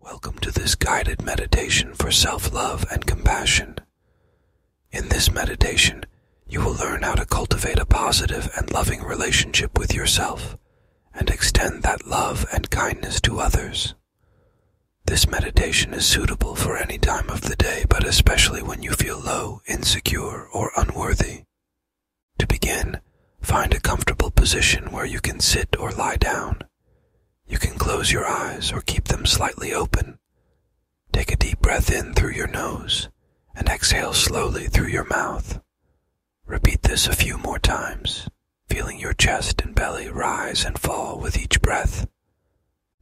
Welcome to this guided meditation for self love and compassion. In this meditation, you will learn how to cultivate a positive and loving relationship with yourself and extend that love and kindness to others. This meditation is suitable for any time of the day, but especially when you feel low, insecure, or unworthy. To begin, find a comfortable position where you can sit or lie down. You can close your eyes or keep them slightly open. Take a deep breath in through your nose and exhale slowly through your mouth. Repeat this a few more times, feeling your chest and belly rise and fall with each breath.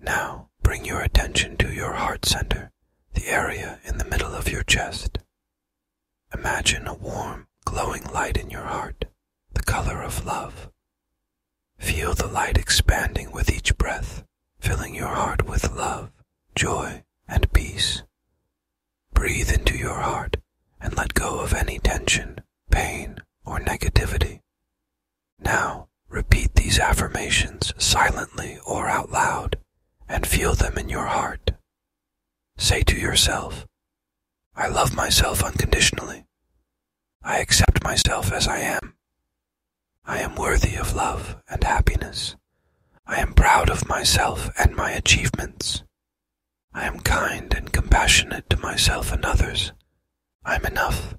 Now, bring your attention to your heart center, the area in the middle of your chest. Imagine a warm, glowing light in your heart the color of love. Feel the light expanding with each breath, filling your heart with love, joy, and peace. Breathe into your heart and let go of any tension, pain, or negativity. Now, repeat these affirmations silently or out loud and feel them in your heart. Say to yourself, I love myself unconditionally. I accept myself as I am. I am worthy of love and happiness. I am proud of myself and my achievements. I am kind and compassionate to myself and others. I'm enough.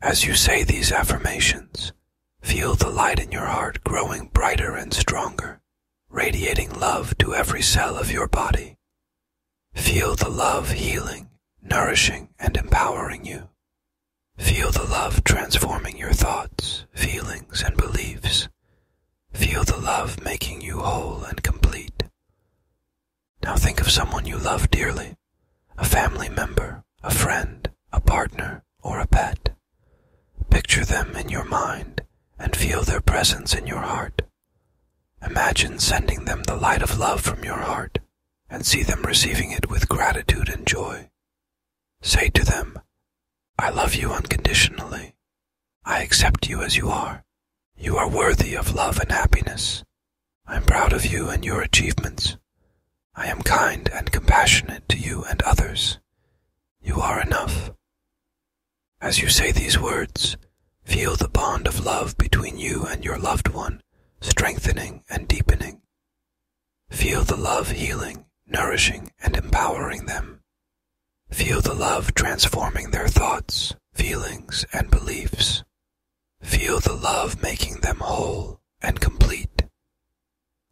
As you say these affirmations, feel the light in your heart growing brighter and stronger, radiating love to every cell of your body. Feel the love healing, nourishing, and empowering you. Feel the love transforming your thoughts, feelings, and beliefs. Feel the love making you whole and complete. Now think of someone you love dearly a family member, a friend, a partner, or a pet. Picture them in your mind and feel their presence in your heart. Imagine sending them the light of love from your heart and see them receiving it with gratitude and joy. Say to them, I love you unconditionally. I accept you as you are. You are worthy of love and happiness. I am proud of you and your achievements. I am kind and compassionate to you and others. You are enough. As you say these words, feel the bond of love between you and your loved one strengthening and deepening. Feel the love healing, nourishing, and empowering them. Feel the love transforming their thoughts, feelings, and beliefs. Feel the love making them whole and complete.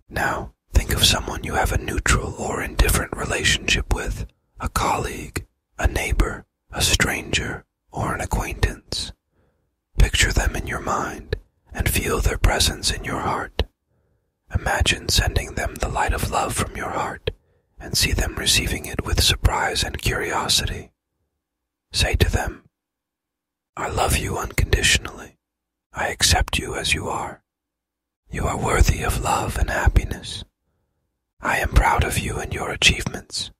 Now, think of someone you have a neutral or indifferent relationship with, a colleague, a neighbor, a stranger, or an acquaintance. Picture them in your mind and feel their presence in your heart. Imagine sending them the light of love from your heart and see them receiving it with surprise and curiosity. Say to them, I love you unconditionally. I accept you as you are. You are worthy of love and happiness. I am proud of you and your achievements.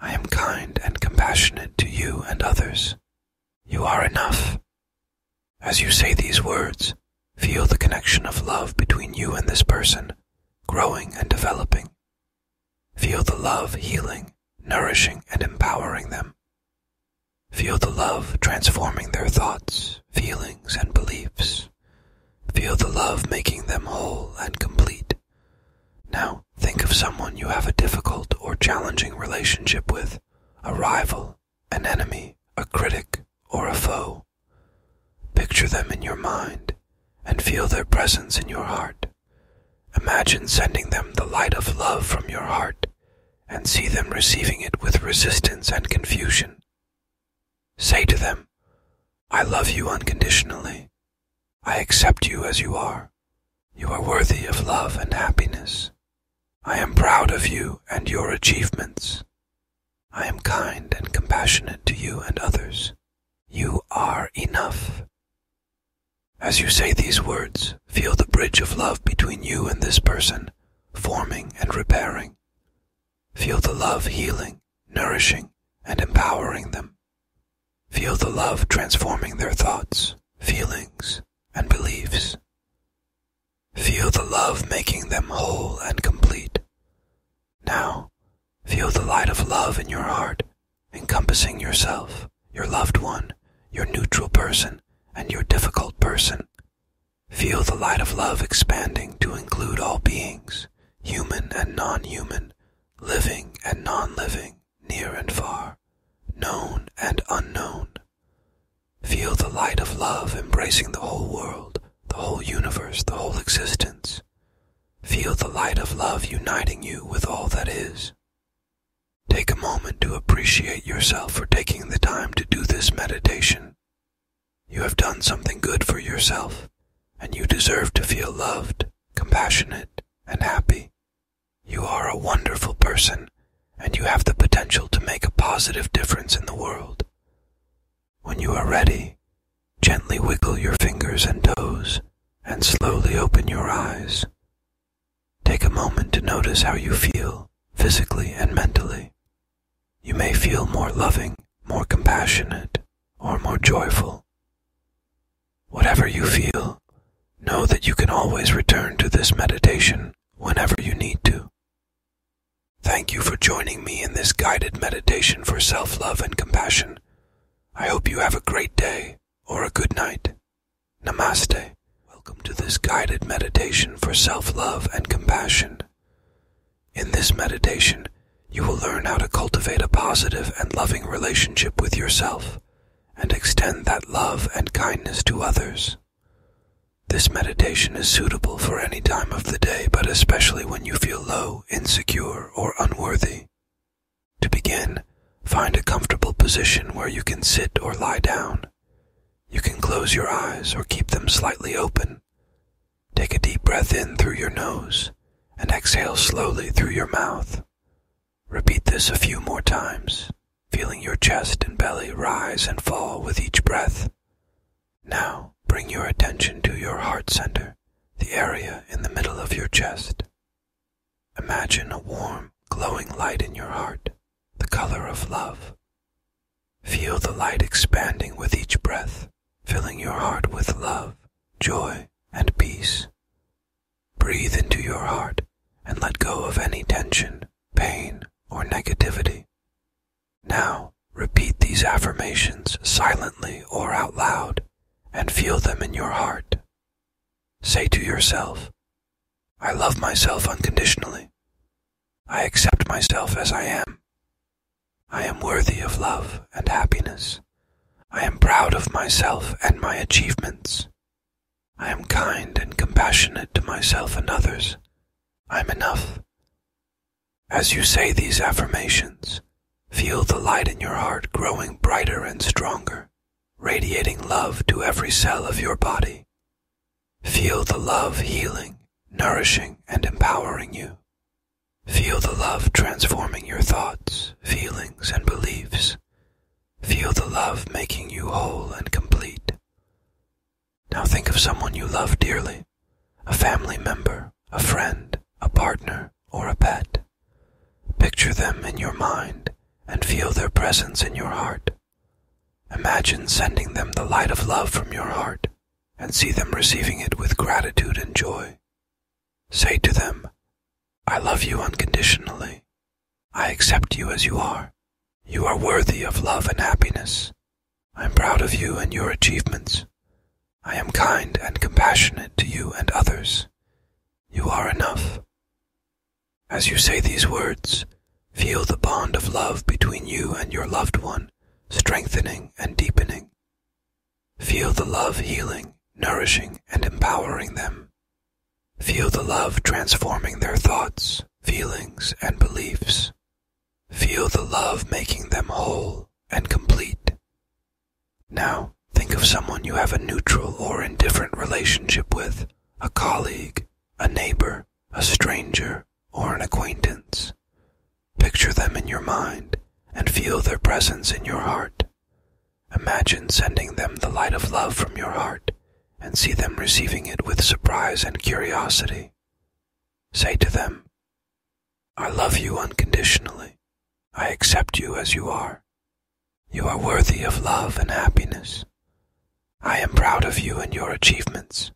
I am kind and compassionate to you and others. You are enough. As you say these words, feel the connection of love between you and this person, growing and developing. Feel the love healing, nourishing, and empowering them. Feel the love transforming their thoughts, feelings, and beliefs. Feel the love making them whole and complete. Now, think of someone you have a difficult or challenging relationship with a rival, an enemy, a critic, or a foe. Picture them in your mind and feel their presence in your heart. Imagine sending them the light of love from your heart and see them receiving it with resistance and confusion. Say to them, I love you unconditionally. I accept you as you are. You are worthy of love and happiness. I am proud of you and your achievements. I am kind and compassionate to you and others. You are enough. As you say these words, feel the bridge of love between you and this person, forming and repairing. Feel the love healing nourishing, and empowering them. Feel the love transforming their thoughts, feelings, and beliefs. Feel the love making them whole and complete. Now, feel the light of love in your heart, encompassing yourself, your loved one, your neutral person, and your difficult person. Feel the light of love expanding to include all beings human and non human, living and non living, near and far, known and unknown. Feel the light of love embracing the whole world, the whole universe, the whole existence. Feel the light of love uniting you with all that is. Take a moment to appreciate yourself for taking the time to do this meditation. You have done something good for yourself, and you deserve to feel loved, compassionate, and happy. You are a wonderful person, and you have the potential to make a positive difference in the world. When you are ready, gently wiggle your fingers and toes, and slowly open your eyes. Take a moment to notice how you feel, physically and mentally. You may feel more loving, more compassionate, or more joyful. Whatever you feel, know that you can always return to this meditation whenever you need to. Thank you for joining me in this guided meditation for self love and compassion. I hope you have a great day or a good night. Namaste. Welcome to this guided meditation for self love and compassion. In this meditation, you will learn how to cultivate a positive and loving relationship with yourself and extend that love and kindness to others. This meditation is suitable for any time of the day, but especially when you feel low, insecure, or unworthy. To begin, find a comfortable position where you can sit or lie down. You can close your eyes or keep them slightly open Take a deep breath in through your nose and exhale slowly through your mouth. Repeat this a few more times, feeling your chest and belly rise and fall with each breath. Now bring your attention to your heart center, the area in the middle of your chest. Imagine a warm, glowing light in your heart, the color of love. Feel the light expanding with each breath, filling your heart with love, joy, and peace. Breathe into your heart and let go of any tension, pain, or negativity. Now, repeat these affirmations silently or out loud and feel them in your heart. Say to yourself, I love myself unconditionally. I accept myself as I am. I am worthy of love and happiness. I am proud of myself and my achievements. I am kind and compassionate to myself and others. I am enough. As you say these affirmations, feel the light in your heart growing brighter and stronger, radiating love to every cell of your body. Feel the love healing, nourishing, and empowering you. Feel the love transforming your thoughts, feelings, and beliefs. Feel the love making you whole and complete. Now think of someone you love dearly a family member, a friend, a partner, or a pet. Picture them in your mind and feel their presence in your heart. Imagine sending them the light of love from your heart and see them receiving it with gratitude and joy. Say to them, I love you unconditionally. I accept you as you are. You are worthy of love and happiness. I am proud of you and your achievements. I am kind and compassionate to you and others. You are enough. As you say these words, feel the bond of love between you and your loved one strengthening and deepening. Feel the love healing, nourishing, and empowering them. Feel the love transforming their thoughts, feelings, and beliefs. Feel the love making them whole and complete. Now, think of someone you have a neutral or indifferent relationship with a colleague, a neighbor, a stranger, or an acquaintance. Picture them in your mind and feel their presence in your heart. Imagine sending them the light of love from your heart and see them receiving it with surprise and curiosity. Say to them, I love you unconditionally. I accept you as you are. You are worthy of love and happiness. I am proud of you and your achievements.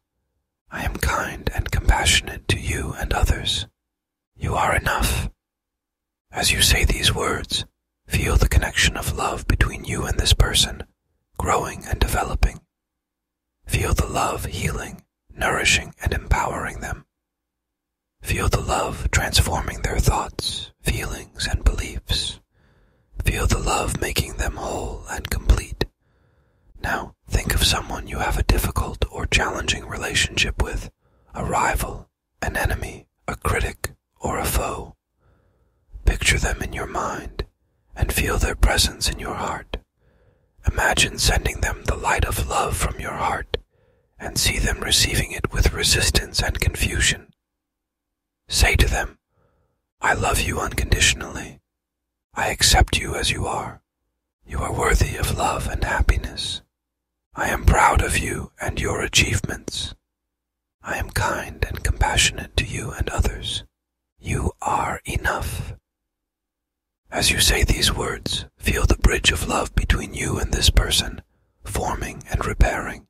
I am kind and compassionate to you and others. You are enough. As you say these words, feel the connection of love between you and this person, growing and developing. Feel the love healing, nourishing, and empowering them. Feel the love transforming their thoughts, feelings, and beliefs. Feel the love making them whole and complete. Now, think of someone you have a difficult or challenging relationship with, a rival, an enemy, a critic, or a foe. Picture them in your mind and feel their presence in your heart. Imagine sending them the light of love from your heart and see them receiving it with resistance and confusion. Say to them, I love you unconditionally. I accept you as you are. You are worthy of love and happiness. I am proud of you and your achievements. I am kind and compassionate to you and others. You are enough. As you say these words, feel the bridge of love between you and this person, forming and repairing.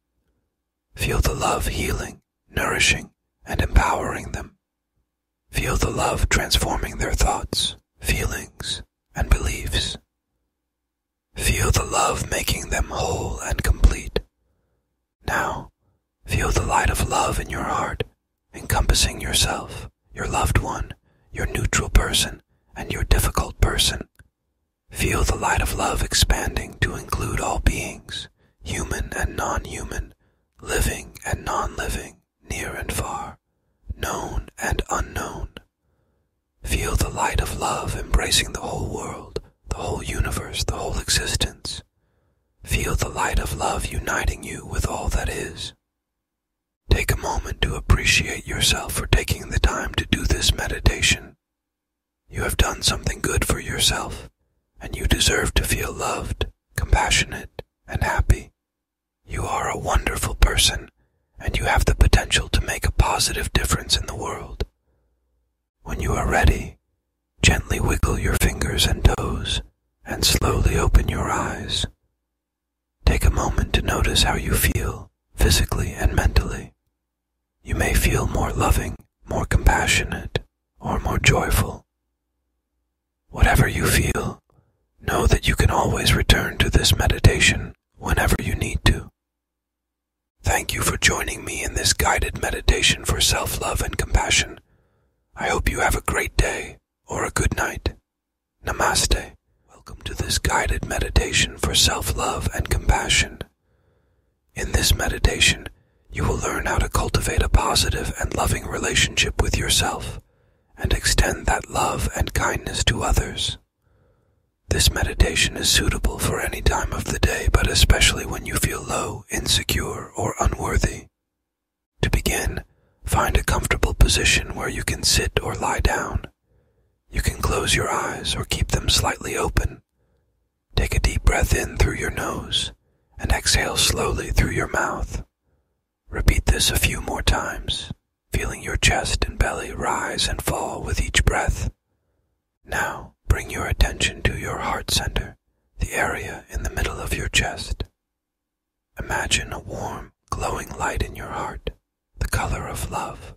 Feel the love healing, nourishing, and empowering them. Feel the love transforming their thoughts, feelings, and beliefs. Feel the love making them whole and complete. Now, feel the light of love in your heart, encompassing yourself, your loved one, your neutral person, and your difficult person. Feel the light of love expanding to include all beings, human and non human, living and non living, near and far, known and unknown. Feel the light of love embracing the whole world, the whole universe, the whole existence. Feel the light of love uniting you with all that is. Take a moment to appreciate yourself for taking the time to do this meditation. You have done something good for yourself, and you deserve to feel loved, compassionate, and happy you are a wonderful person, and you have the potential to make a positive difference in the world. When you are ready, gently wiggle your fingers and toes, and slowly open your eyes. Take a moment to notice how you feel, physically and mentally. You may feel more loving, more compassionate, or more joyful. Whatever you feel, know that you can always return to this meditation whenever you need to. Thank you for joining me in this guided meditation for self love and compassion. I hope you have a great day or a good night. Namaste. Welcome to this guided meditation for self love and compassion. In this meditation, you will learn how to cultivate a positive and loving relationship with yourself and extend that love and kindness to others. This meditation is suitable for any time of the day, but especially when you feel low, insecure, or unworthy. To begin, find a comfortable position where you can sit or lie down. You can close your eyes or keep them slightly open. Take a deep breath in through your nose and exhale slowly through your mouth. Repeat this a few more times, feeling your chest and belly rise and fall with each breath. Now, bring your attention to your heart center, the area in the middle of your chest. Imagine a warm, glowing light in your heart, the color of love.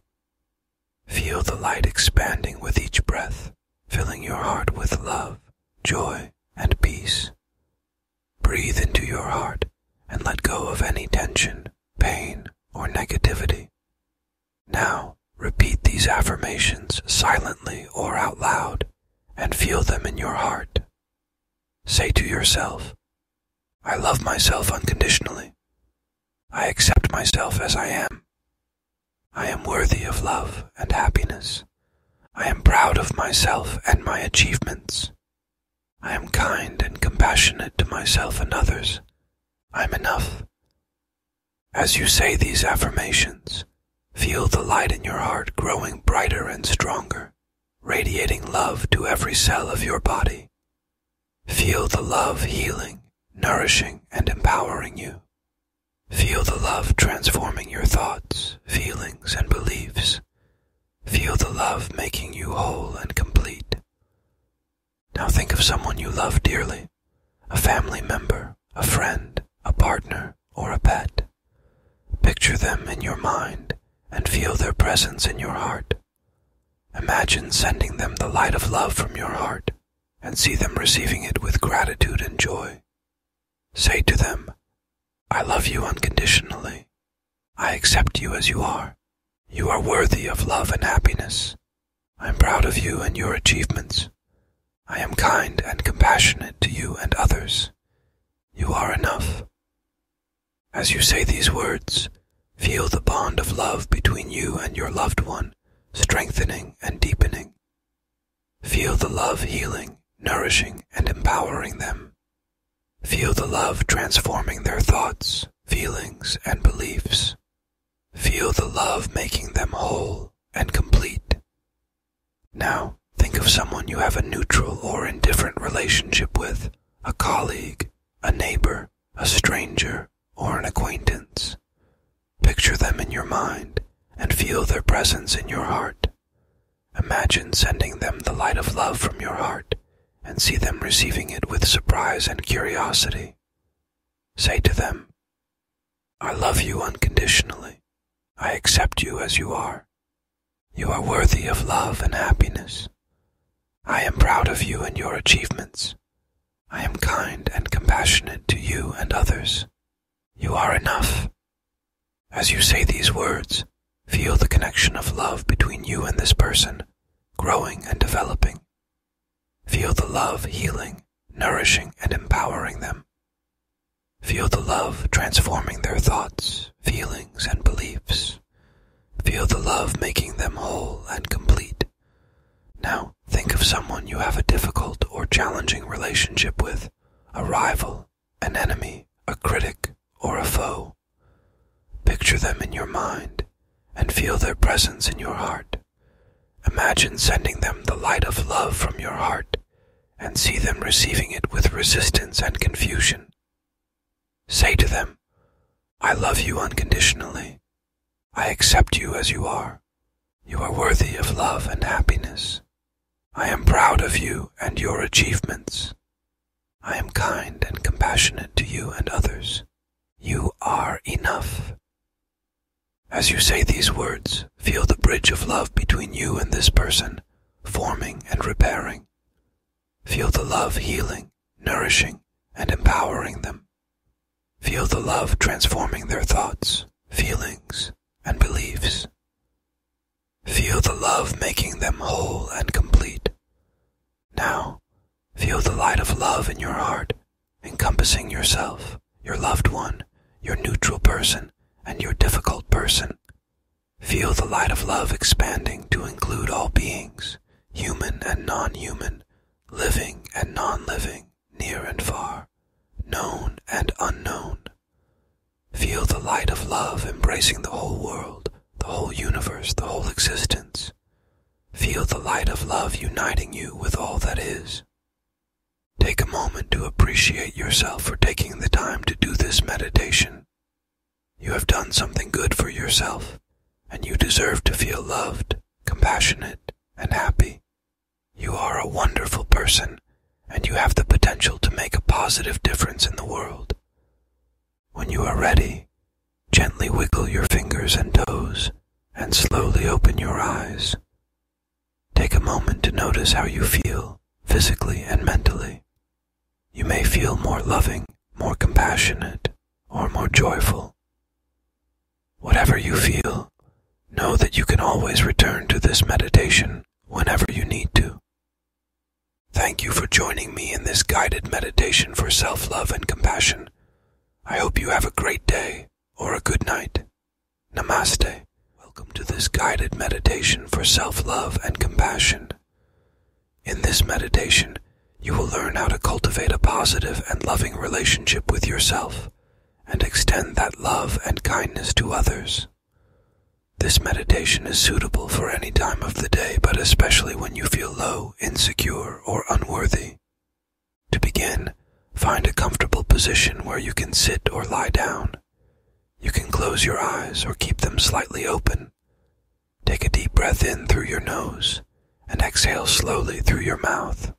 Feel the light expanding with each breath, filling your heart with love, joy, and peace. Breathe into your heart and let go of any tension, pain, or negativity. Now, repeat these affirmations silently or out loud and feel them in your heart. Say to yourself, I love myself unconditionally. I accept myself as I am. I am worthy of love and happiness. I am proud of myself and my achievements. I am kind and compassionate to myself and others. I am enough. As you say these affirmations, feel the light in your heart growing brighter and stronger, radiating love to every cell of your body. Feel the love healing, nourishing, and empowering you. Feel the love transforming your thoughts, feelings, and beliefs, Feel the love making you whole and complete. Now think of someone you love dearly a family member, a friend, a partner, or a pet. Picture them in your mind and feel their presence in your heart. Imagine sending them the light of love from your heart and see them receiving it with gratitude and joy. Say to them, I love you unconditionally. I accept you as you are. You are worthy of love and happiness. I am proud of you and your achievements. I am kind and compassionate to you and others. You are enough. As you say these words, feel the bond of love between you and your loved one strengthening and deepening. Feel the love healing, nourishing, and empowering them Feel the love transforming their thoughts, feelings, and beliefs. Feel the love making them whole and complete. Now, think of someone you have a neutral or indifferent relationship with, a colleague, a neighbor, a stranger, or an acquaintance. Picture them in your mind and feel their presence in your heart. Imagine sending them the light of love from your heart and see them receiving it with surprise and curiosity. Say to them, I love you unconditionally. I accept you as you are. You are worthy of love and happiness. I am proud of you and your achievements. I am kind and compassionate to you and others. You are enough. As you say these words, feel the connection of love between you and this person, growing and developing. Feel the love healing, nourishing, and empowering them. Feel the love transforming their thoughts, feelings, and beliefs. Feel the love making them whole and complete. Now, think of someone you have a difficult or challenging relationship with, a rival, an enemy, a critic, or a foe. Picture them in your mind and feel their presence in your heart. Imagine sending them the light of love from your heart and see them receiving it with resistance and confusion. Say to them, I love you unconditionally. I accept you as you are. You are worthy of love and happiness. I am proud of you and your achievements. I am kind and compassionate to you and others. You are enough. As you say these words, feel the bridge of love between you and this person, forming and repairing. Feel the love healing, nourishing, and empowering them. Feel the love transforming their thoughts, feelings, and beliefs. Feel the love making them whole and complete. Now, feel the light of love in your heart, encompassing yourself, your loved one, your neutral person, and your difficult person. Feel the light of love expanding to include all beings, human and non-human, living and non-living, near and far, known and unknown. Feel the light of love embracing the whole world, the whole universe, the whole existence. Feel the light of love uniting you with all that is. Take a moment to appreciate yourself for taking the time to do this meditation. You have done something good for yourself, and you deserve to feel loved, compassionate, and happy. You are a wonderful person, and you have the potential to make a positive difference in the world. When you are ready, gently wiggle your fingers and toes and slowly open your eyes. Take a moment to notice how you feel, physically and mentally. You may feel more loving, more compassionate, or more joyful. Whatever you feel, know that you can always return to this meditation whenever you need to. Thank you for joining me in this guided meditation for self love and compassion. I hope you have a great day or a good night. Namaste. Welcome to this guided meditation for self love and compassion. In this meditation, you will learn how to cultivate a positive and loving relationship with yourself and extend that love and kindness to others. This meditation is suitable for any time of the day, but especially when you feel low, insecure, or unworthy. To begin, find a comfortable position where you can sit or lie down. You can close your eyes or keep them slightly open. Take a deep breath in through your nose and exhale slowly through your mouth.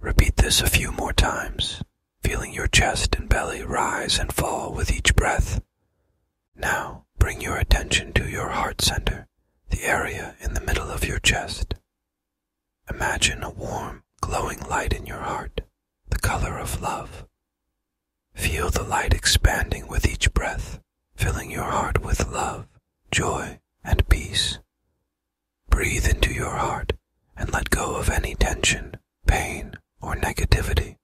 Repeat this a few more times, feeling your chest and belly rise and fall with each breath. Now bring your attention to your heart center, the area in the middle of your chest. Imagine a warm, glowing light in your heart, the color of love. Feel the light expanding with each breath, filling your heart with love, joy, and peace. Breathe into your heart and let go of any tension, pain, or negativity.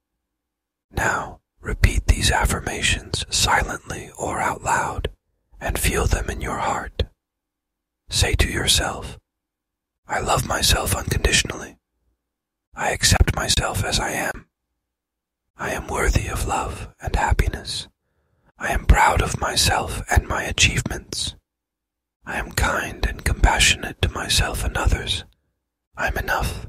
Now, repeat these affirmations silently or out loud and feel them in your heart. Say to yourself, I love myself unconditionally. I accept myself as I am. I am worthy of love and happiness. I am proud of myself and my achievements. I am kind and compassionate to myself and others. I'm enough.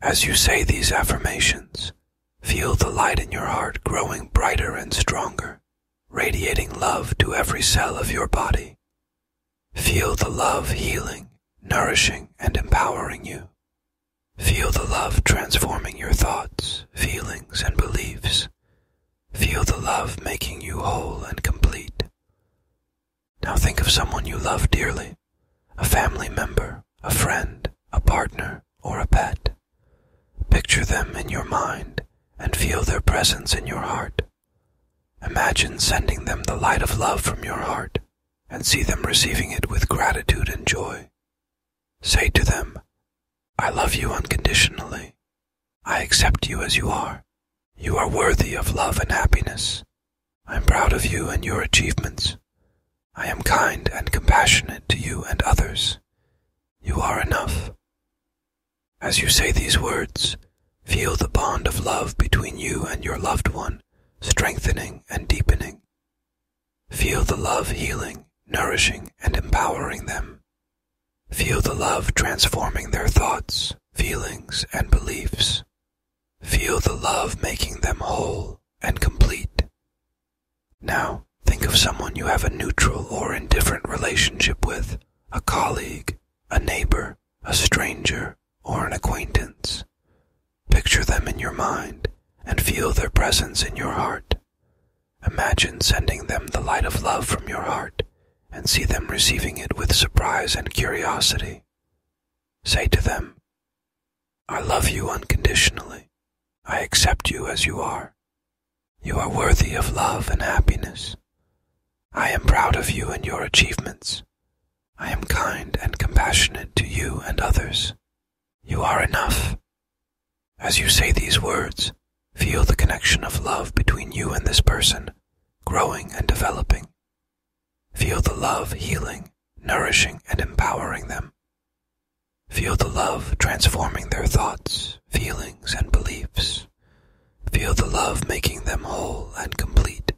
As you say these affirmations, feel the light in your heart growing brighter and stronger, radiating love to every cell of your body. Feel the love healing, nourishing, and empowering you. Feel the love transforming your thoughts, feelings, and beliefs. Feel the love making you whole and complete. Now think of someone you love dearly a family member, a friend, a partner, or a pet. Picture them in your mind and feel their presence in your heart. Imagine sending them the light of love from your heart and see them receiving it with gratitude and joy. Say to them, I love you unconditionally. I accept you as you are, you are worthy of love and happiness. I am proud of you and your achievements. I am kind and compassionate to you and others. You are enough. As you say these words, feel the bond of love between you and your loved one strengthening and deepening. Feel the love healing, nourishing, and empowering them. Feel the love transforming their thoughts, feelings, and beliefs. Feel the love making them whole and complete. Now, think of someone you have a neutral or indifferent relationship with a colleague, a neighbor, a stranger, or an acquaintance. Picture them in your mind and feel their presence in your heart. Imagine sending them the light of love from your heart and see them receiving it with surprise and curiosity. Say to them, I love you unconditionally. I accept you as you are. You are worthy of love and happiness. I am proud of you and your achievements. I am kind and compassionate to you and others. You are enough. As you say these words, feel the connection of love between you and this person, growing and developing. Feel the love healing, nourishing, and empowering them. Feel the love transforming their thoughts, feelings, and beliefs. Feel the love making them whole and complete.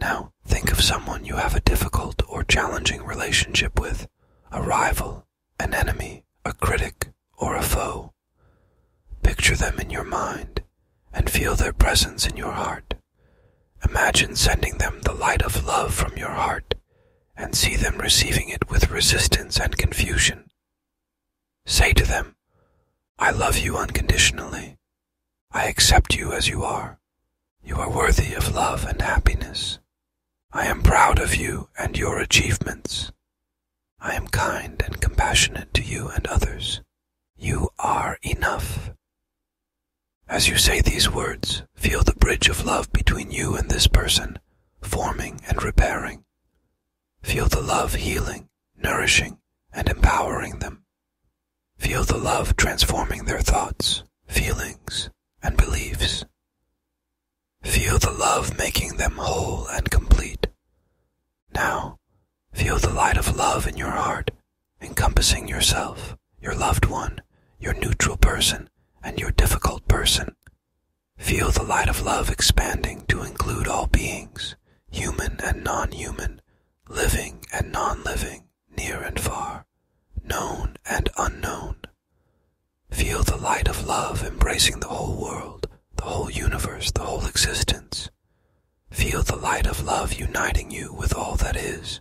Now, think of someone you have a difficult or challenging relationship with, a rival, an enemy, a critic, or a foe. Picture them in your mind and feel their presence in your heart. Imagine sending them the light of love from your heart and see them receiving it with resistance and confusion. Say to them, I love you unconditionally. I accept you as you are. You are worthy of love and happiness. I am proud of you and your achievements. I am kind and compassionate to you and others. You are enough. As you say these words, feel the bridge of love between you and this person, forming and repairing. Feel the love healing, nourishing, and empowering them. Feel the love transforming their thoughts, feelings, and beliefs. Feel the love making them whole and complete. Now, Feel the light of love in your heart, encompassing yourself, your loved one, your neutral person, and your difficult person. Feel the light of love expanding to include all beings, human and non human, living and non living, near and far, known and unknown. Feel the light of love embracing the whole world, the whole universe, the whole existence. Feel the light of love uniting you with all that is.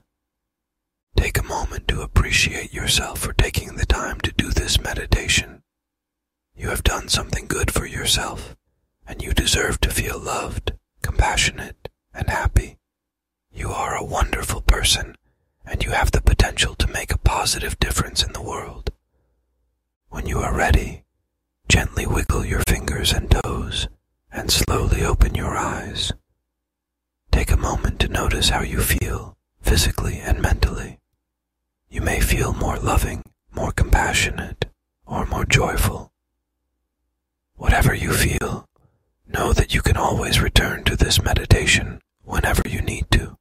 Take a moment to appreciate yourself for taking the time to do this meditation. You have done something good for yourself, and you deserve to feel loved, compassionate, and happy. You are a wonderful person, and you have the potential to make a positive difference in the world. When you are ready, Gently wiggle your fingers and toes and slowly open your eyes. Take a moment to notice how you feel, physically and mentally. You may feel more loving, more compassionate, or more joyful. Whatever you feel, know that you can always return to this meditation whenever you need to.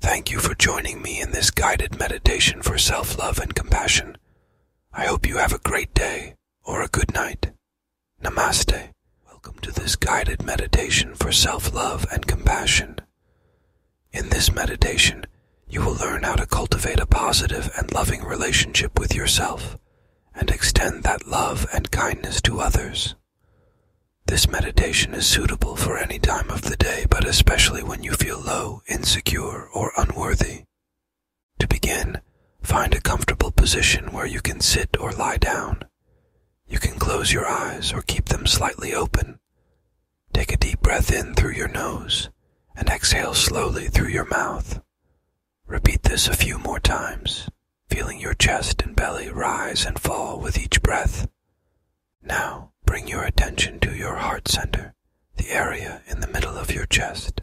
Thank you for joining me in this guided meditation for self love and compassion. I hope you have a great day or a good night. Namaste. Welcome to this guided meditation for self love and compassion. In this meditation, you will learn how to cultivate a positive and loving relationship with yourself and extend that love and kindness to others. This meditation is suitable for any time of the day, but especially when you feel low, insecure, or unworthy. To begin, find a comfortable position where you can sit or lie down. You can close your eyes or keep them slightly open. Take a deep breath in through your nose and exhale slowly through your mouth. Repeat this a few more times, feeling your chest and belly rise and fall with each breath. Now, bring your attention to your heart center, the area in the middle of your chest.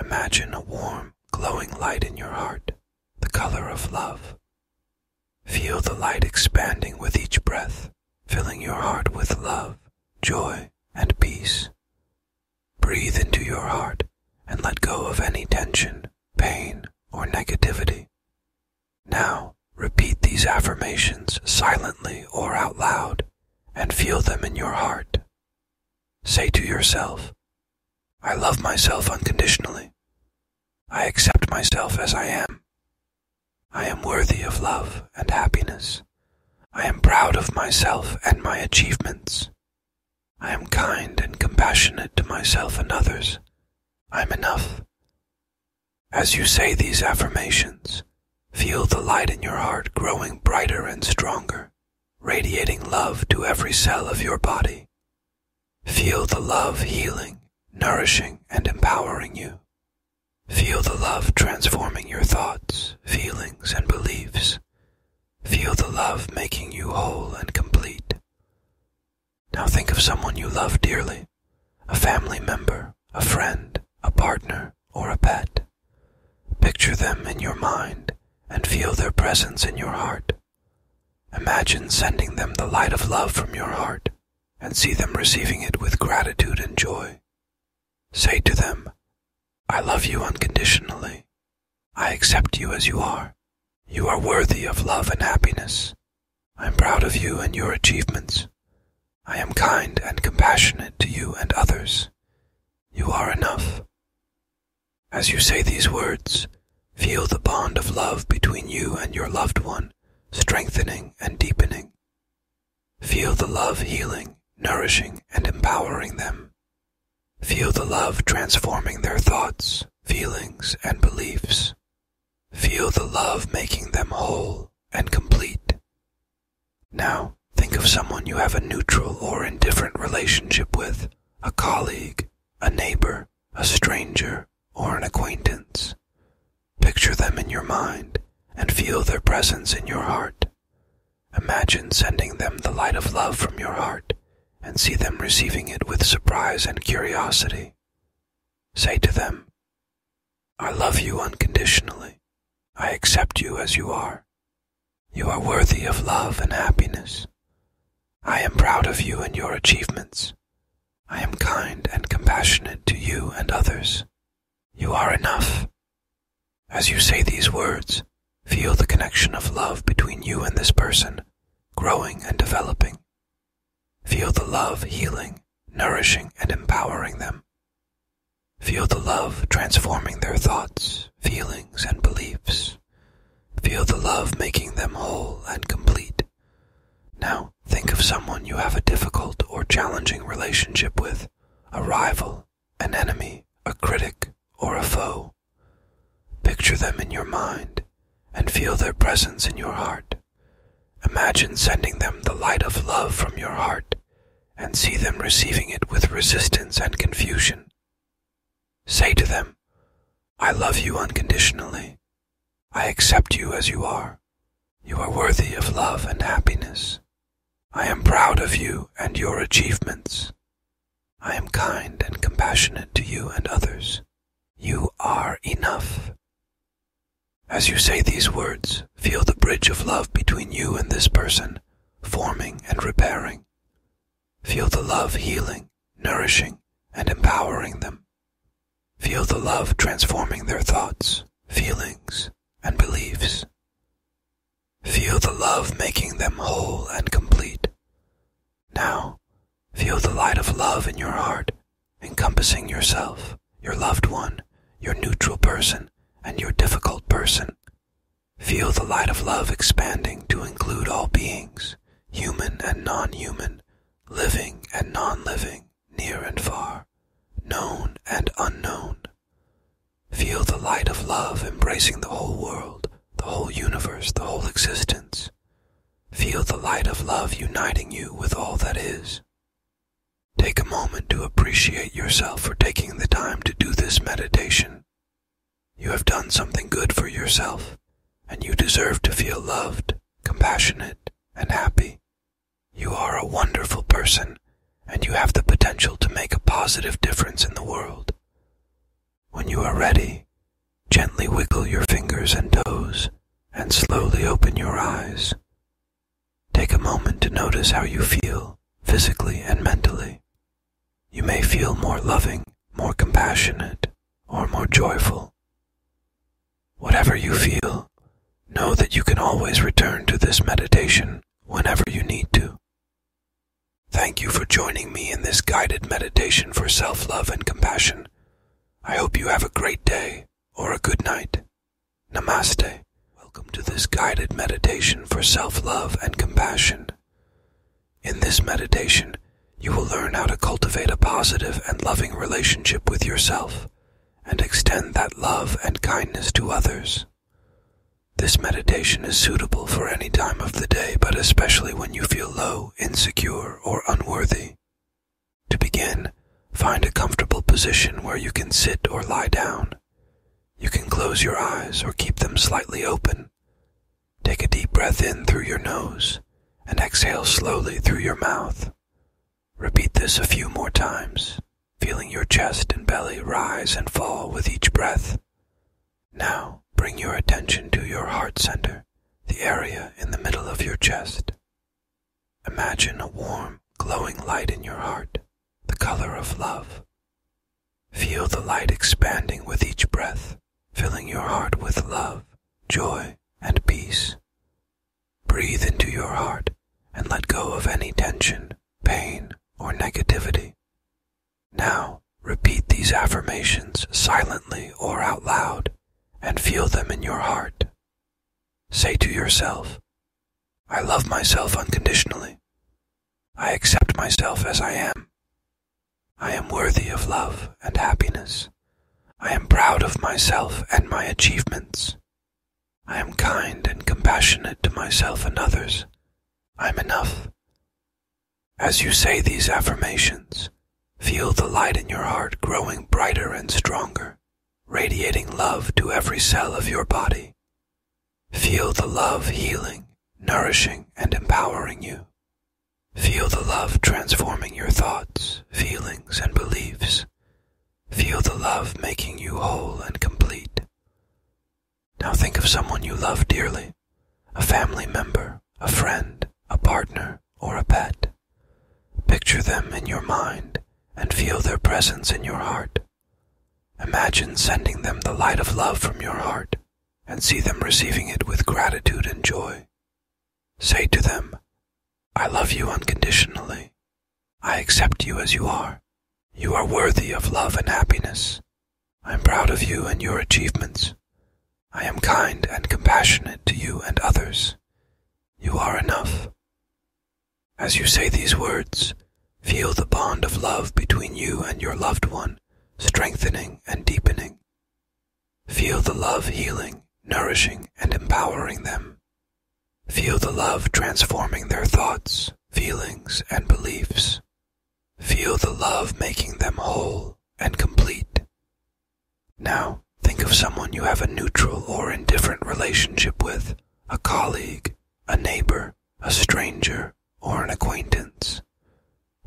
Imagine a warm, glowing light in your heart, the color of love. Feel the light expanding with each breath, filling your heart with love, joy, and peace. Breathe into your heart and let go of any tension, pain, or negativity. Now, repeat these affirmations silently or out loud, and feel them in your heart. Say to yourself, I love myself unconditionally. I accept myself as I am. I am worthy of love and happiness. I am proud of myself and my achievements. I am kind and compassionate to myself and others. I'm enough. As you say these affirmations, Feel the light in your heart growing brighter and stronger, radiating love to every cell of your body. Feel the love healing, nourishing, and empowering you. Feel the love transforming your thoughts, feelings, and beliefs. Feel the love making you whole and complete. Now think of someone you love dearly, a family member, a friend, a partner, or a pet. Picture them in your mind and feel their presence in your heart. Imagine sending them the light of love from your heart and see them receiving it with gratitude and joy. Say to them, I love you unconditionally. I accept you as you are. You are worthy of love and happiness. I am proud of you and your achievements. I am kind and compassionate to you and others. You are enough. As you say these words, feel the bond of love between you and your loved one strengthening and deepening. Feel the love healing, nourishing, and empowering them. Feel the love transforming their thoughts, feelings, and beliefs. Feel the love making them whole and complete. Now, think of someone you have a neutral or indifferent relationship with a colleague, a neighbor, a stranger, or an acquaintance. Picture them in your mind and feel their presence in your heart. Imagine sending them the light of love from your heart and see them receiving it with surprise and curiosity. Say to them, I love you unconditionally. I accept you as you are. You are worthy of love and happiness. I am proud of you and your achievements. I am kind and compassionate to you and others. You are enough. As you say these words, feel the connection of love between you and this person, growing and developing. Feel the love healing, nourishing, and empowering them. Feel the love transforming their thoughts, feelings, and beliefs. Feel the love making them whole and complete. Now, think of someone you have a difficult or challenging relationship with a rival, an enemy, a critic, or a foe. Picture them in your mind and feel their presence in your heart. Imagine sending them the light of love from your heart and see them receiving it with resistance and confusion. Say to them, I love you unconditionally. I accept you as you are. You are worthy of love and happiness. I am proud of you and your achievements. I am kind and compassionate to you and others. You are enough. As you say these words, feel the bridge of love between you and this person forming and repairing. Feel the love healing, nourishing, and empowering them. Feel the love transforming their thoughts, feelings, and beliefs. Feel the love making them whole and complete. Now, feel the light of love in your heart, encompassing yourself, your loved one, your neutral person, and your difficult person, Feel the light of love expanding to include all beings, human and non human, living and non living, near and far, known and unknown. Feel the light of love embracing the whole world, the whole universe, the whole existence. Feel the light of love uniting you with all that is. Take a moment to appreciate yourself for taking the time to do this meditation. You have done something good for yourself, and you deserve to feel loved, compassionate, and happy. You are a wonderful person, and you have the potential to make a positive difference in the world. When you are ready, gently wiggle your fingers and toes, and slowly open your eyes. Take a moment to notice how you feel, physically and mentally. You may feel more loving, more compassionate, or more joyful. Whatever you feel, know that you can always return to this meditation whenever you need to. Thank you for joining me in this guided meditation for self love and compassion. I hope you have a great day or a good night. Namaste. Welcome to this guided meditation for self love and compassion. In this meditation, you will learn how to cultivate a positive and loving relationship with yourself and extend that love and kindness to others. This meditation is suitable for any time of the day, but especially when you feel low, insecure, or unworthy. To begin, find a comfortable position where you can sit or lie down. You can close your eyes or keep them slightly open. Take a deep breath in through your nose and exhale slowly through your mouth. Repeat this a few more times, feeling your chest and belly rise and fall with each breath. Now, bring your attention to your heart center, the area in the middle of your chest. Imagine a warm, glowing light in your heart, the color of love. Feel the light expanding with each breath, filling your heart with love, joy, and peace. Breathe into your heart and let go of any tension, pain, or negativity. Now, repeat these affirmations silently or out loud and feel them in your heart. Say to yourself, I love myself unconditionally. I accept myself as I am. I am worthy of love and happiness. I am proud of myself and my achievements. I am kind and compassionate to myself and others. I'm enough. As you say these affirmations, feel the light in your heart growing brighter and stronger, radiating love to every cell of your body. Feel the love healing, nourishing, and empowering you. Feel the love transforming your thoughts, feelings, and beliefs. Feel the love making you whole and complete. Now think of someone you love dearly a family member, a friend, a partner, or a pet. Picture them in your mind and feel their presence in your heart. Imagine sending them the light of love from your heart and see them receiving it with gratitude and joy. Say to them, I love you unconditionally. I accept you as you are. You are worthy of love and happiness. I am proud of you and your achievements. I am kind and compassionate to you and others. You are enough. As you say these words, feel the bond of love between you and your loved one strengthening and deepening. Feel the love healing, nourishing, and empowering them. Feel the love transforming their thoughts, feelings, and beliefs. Feel the love making them whole and complete. Now, think of someone you have a neutral or indifferent relationship with, a colleague, a neighbor, a stranger, or an acquaintance.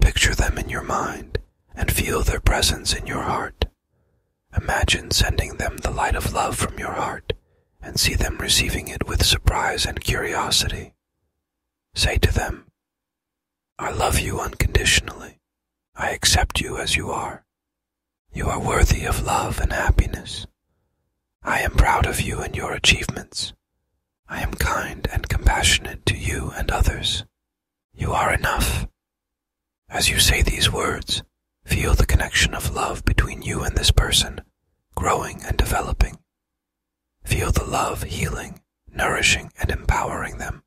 Picture them in your mind and feel their presence in your heart. Imagine sending them the light of love from your heart and see them receiving it with surprise and curiosity. Say to them, I love you unconditionally. I accept you as you are. You are worthy of love and happiness. I am proud of you and your achievements. I am kind and compassionate to you and others. You are enough. As you say these words, feel the connection of love between you and this person, growing and developing. Feel the love healing, nourishing, and empowering them.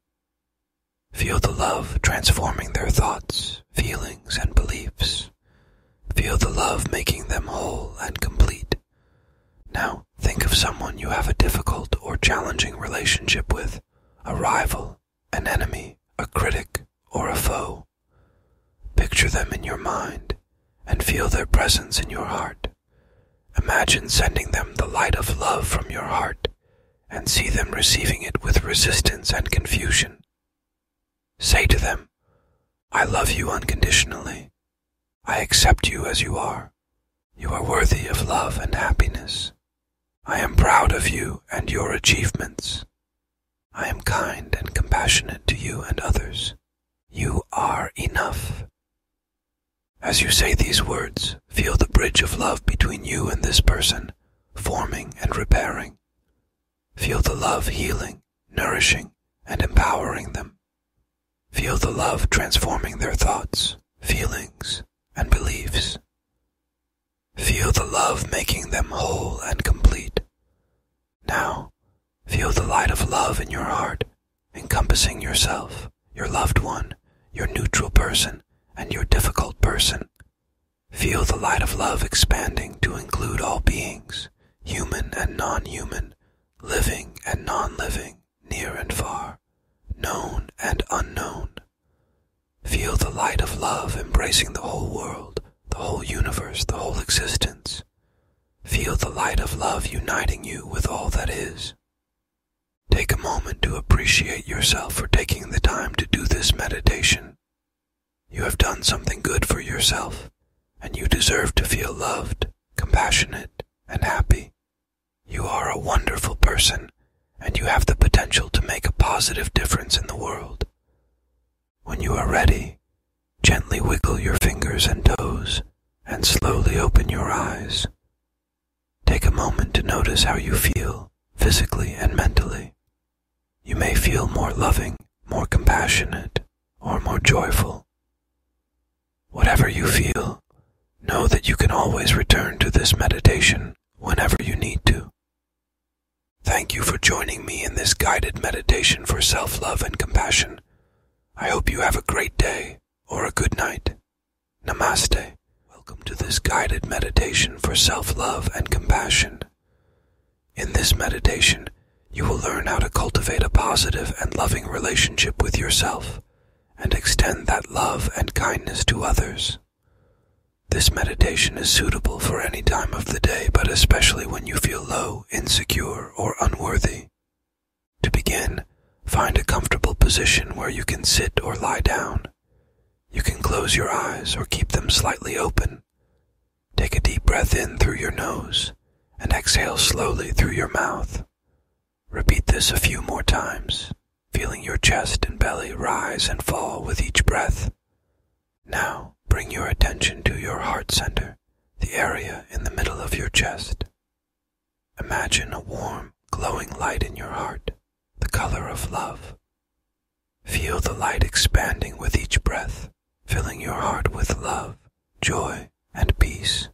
Feel the love transforming their thoughts, feelings, and beliefs. Feel the love making them whole and complete. Now, think of someone you have a difficult or challenging relationship with a rival, an enemy, a critic, or a foe. Picture them in your mind and feel their presence in your heart. Imagine sending them the light of love from your heart and see them receiving it with resistance and confusion. Say to them, I love you unconditionally. I accept you as you are. You are worthy of love and happiness. I am proud of you and your achievements. I am kind and compassionate to you and others. You are enough. As you say these words, feel the bridge of love between you and this person, forming and repairing. Feel the love healing, nourishing, and empowering them. Feel the love transforming their thoughts, feelings, and beliefs. Feel the love making them whole and complete. Now, feel the light of love in your heart, encompassing yourself, your loved one, your neutral person, and your difficult person. Feel the light of love expanding to include all beings, human and non human, living and non living, near and far, known and unknown. Feel the light of love embracing the whole world, the whole universe, the whole existence. Feel the light of love uniting you with all that is. Take a moment to appreciate yourself for taking the time to do this meditation. You have done something good for yourself, and you deserve to feel loved, compassionate, and happy. You are a wonderful person, and you have the potential to make a positive difference in the world. When you are ready, gently wiggle your fingers and toes, and slowly open your eyes. Take a moment to notice how you feel, physically and mentally. You may feel more loving, more compassionate, or more joyful. Whatever you feel, know that you can always return to this meditation whenever you need to. Thank you for joining me in this guided meditation for self love and compassion. I hope you have a great day or a good night. Namaste. Welcome to this guided meditation for self love and compassion. In this meditation, you will learn how to cultivate a positive and loving relationship with yourself and extend that love and kindness to others. This meditation is suitable for any time of the day, but especially when you feel low, insecure, or unworthy. To begin, find a comfortable position where you can sit or lie down. You can close your eyes or keep them slightly open. Take a deep breath in through your nose and exhale slowly through your mouth. Repeat this a few more times, feeling your chest and belly rise and fall with each breath. Now, bring your attention to your heart center, the area in the middle of your chest. Imagine a warm, glowing light in your heart, the color of love. Feel the light expanding with each breath, filling your heart with love, joy, and peace.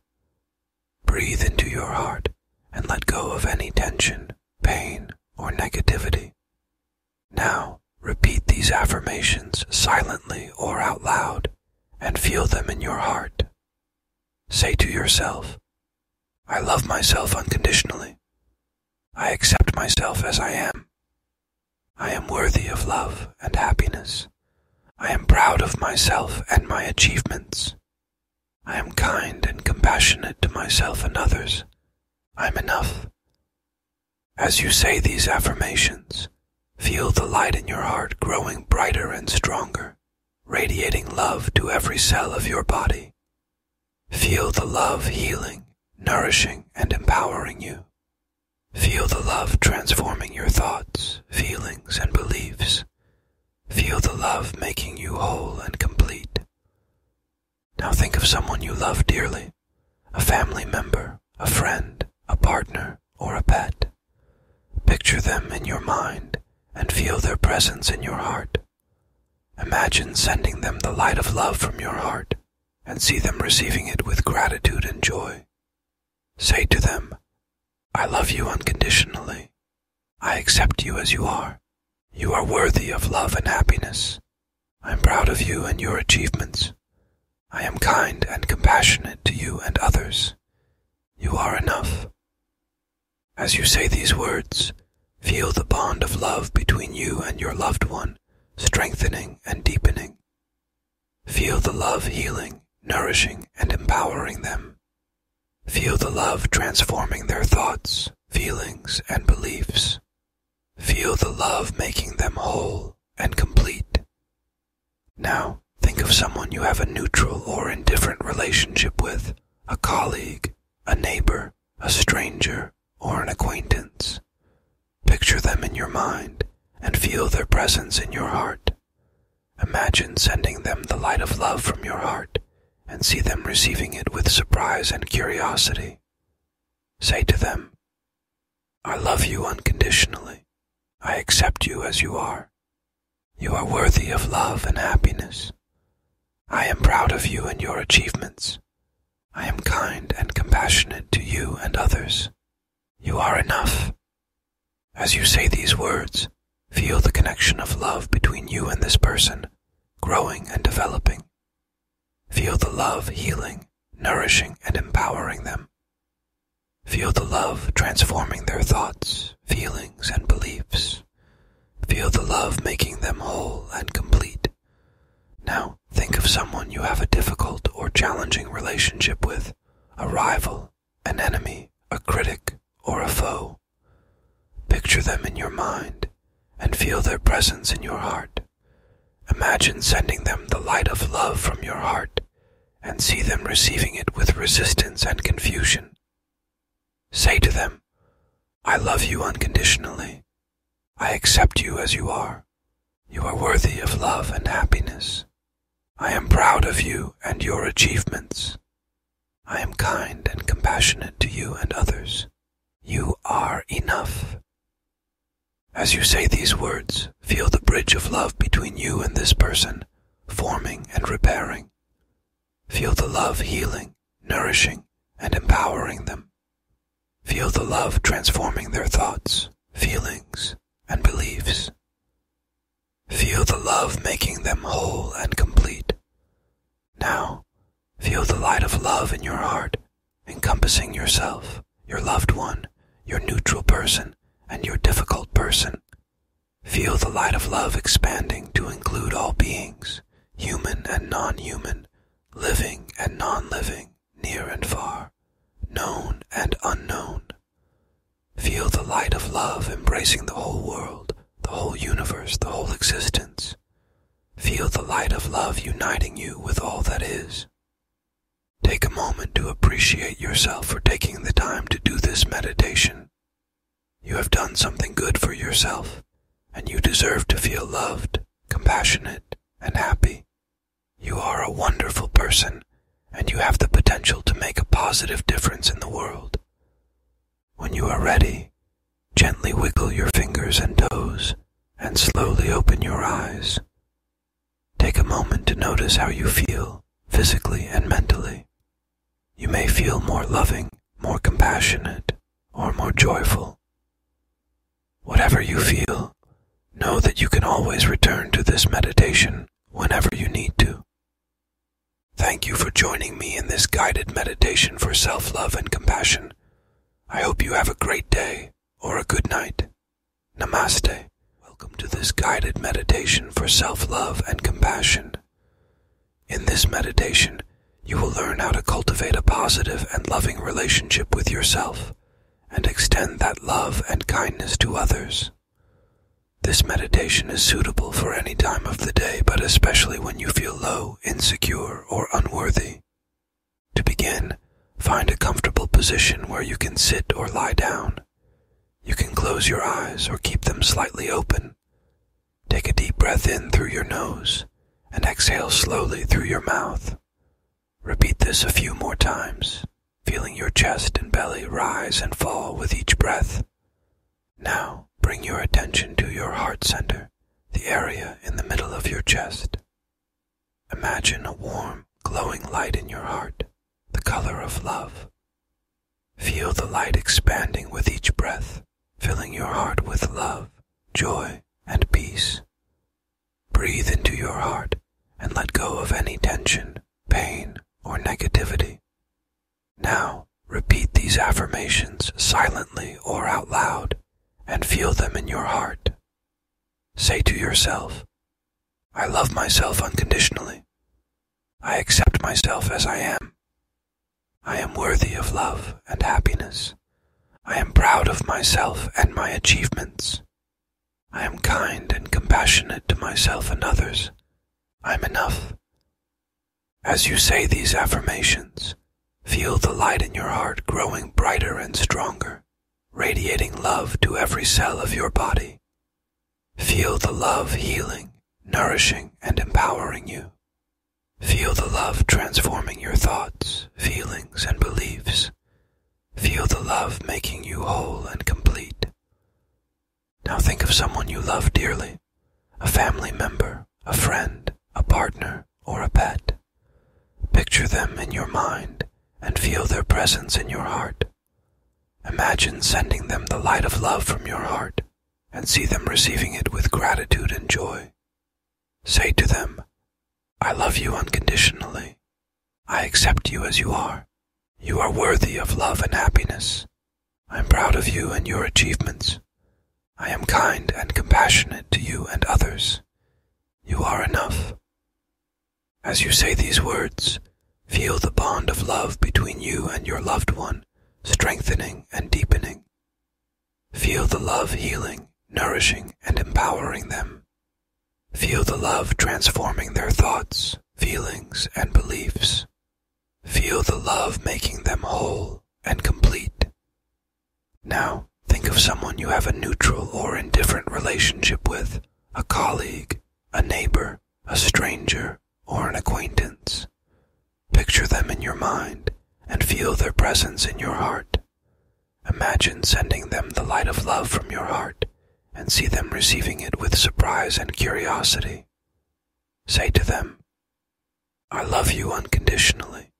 Breathe into your heart and let go of any tension, pain, or negativity. Now, repeat these affirmations silently or out loud and feel them in your heart. Say to yourself, I love myself unconditionally. I accept myself as I am. I am worthy of love and happiness. I am proud of myself and my achievements. I am kind and compassionate to myself and others. I'm enough. As you say these affirmations, feel the light in your heart growing brighter and stronger, radiating love to every cell of your body. Feel the love healing, nourishing, and empowering you. Feel the love transforming your thoughts, feelings, and beliefs. Feel the love making you whole and complete. Now think of someone you love dearly a family member, a friend, a partner, or a pet. Picture them in your mind and feel their presence in your heart. Imagine sending them the light of love from your heart and see them receiving it with gratitude and joy. Say to them, I love you unconditionally. I accept you as you are. You are worthy of love and happiness. I am proud of you and your achievements. I am kind and compassionate to you and others. You are enough. As you say these words, feel the bond of love between you and your loved one strengthening and deepening. Feel the love healing, nourishing, and empowering them. Feel the love transforming their thoughts, feelings, and beliefs. Feel the love making them whole and complete. Now, think of someone you have a neutral or indifferent relationship with, a colleague, a neighbor, a stranger, or an acquaintance. Picture them in your mind and feel their presence in your heart. Imagine sending them the light of love from your heart and see them receiving it with surprise and curiosity. Say to them, I love you unconditionally. I accept you as you are. You are worthy of love and happiness. I am proud of you and your achievements. I am kind and compassionate to you and others. You are enough. As you say these words, feel the connection of love between you and this person, growing and developing. Feel the love healing, nourishing, and empowering them. Feel the love transforming their thoughts, feelings, and beliefs. Feel the love making them whole and complete. Now, think of someone you have a difficult or challenging relationship with a rival, an enemy, a critic, or a foe. Picture them in your mind and feel their presence in your heart. Imagine sending them the light of love from your heart and see them receiving it with resistance and confusion. Say to them, I love you unconditionally. I accept you as you are. You are worthy of love and happiness. I am proud of you and your achievements. I am kind and compassionate to you and others. You are enough. As you say these words, feel the bridge of love between you and this person, forming and repairing. Feel the love healing, nourishing, and empowering them. Feel the love transforming their thoughts, feelings, and beliefs. Feel the love making them whole and complete. Now, feel the light of love in your heart, encompassing yourself, your loved one, your neutral person, and your difficult person. Feel the light of love expanding to include all beings, human and non-human, living and non-living near and far, known and unknown. Feel the light of love embracing the whole world, the whole universe, the whole existence. Feel the light of love uniting you with all that is. Take a moment to appreciate yourself for taking the time to do this meditation. You have done something good for yourself, and you deserve to feel loved, compassionate, and happy, you are a wonderful person, and you have the potential to make a positive difference in the world. When you are ready, gently wiggle your fingers and toes, and slowly open your eyes. Take a moment to notice how you feel, physically and mentally. You may feel more loving, more compassionate, or more joyful. Whatever you feel, know that you can always return to this meditation whenever you need to. Thank you for joining me in this guided meditation for self love and compassion. I hope you have a great day or a good night. Namaste. Welcome to this guided meditation for self love and compassion. In this meditation, you will learn how to cultivate a positive and loving relationship with yourself and extend that love and kindness to others. This meditation is suitable for any time of the day, but especially when you feel low, insecure, or unworthy. To begin, find a comfortable position where you can sit or lie down. You can close your eyes or keep them slightly open. Take a deep breath in through your nose and exhale slowly through your mouth. Repeat this a few more times, feeling your chest and belly rise and fall with each breath. Now bring your attention to your heart center, the area in the middle of your chest. Imagine a warm, glowing light in your heart, the color of love. Feel the light expanding with each breath, filling your heart with love, joy, and peace. Breathe into your heart and let go of any tension, pain, or negativity. Now, repeat these affirmations silently or out loud and feel them in your heart. Say to yourself, I love myself unconditionally. I accept myself as I am. I am worthy of love and happiness. I am proud of myself and my achievements. I am kind and compassionate to myself and others. I am enough. As you say these affirmations, feel the light in your heart growing brighter and stronger, radiating love to every cell of your body. Feel the love healing, nourishing, and empowering you. Feel the love transforming your thoughts, feelings, and beliefs. Feel the love making you whole and complete. Now think of someone you love dearly a family member, a friend, a partner, or a pet. Picture them in your mind and feel their presence in your heart. Imagine sending them the light of love from your heart and see them receiving it with gratitude and joy. Say to them, I love you unconditionally. I accept you as you are. You are worthy of love and happiness. I am proud of you and your achievements. I am kind and compassionate to you and others. You are enough. As you say these words, feel the bond of love between you and your loved one strengthening and deepening. Feel the love healing, nourishing, and empowering them. Feel the love transforming their thoughts, feelings, and beliefs. Feel the love making them whole and complete. Now, think of someone you have a neutral or indifferent relationship with a colleague, a neighbor, a stranger, or an acquaintance. Picture them in your mind and feel their presence in your heart. Imagine sending them the light of love from your heart and see them receiving it with surprise and curiosity. Say to them, I love you unconditionally.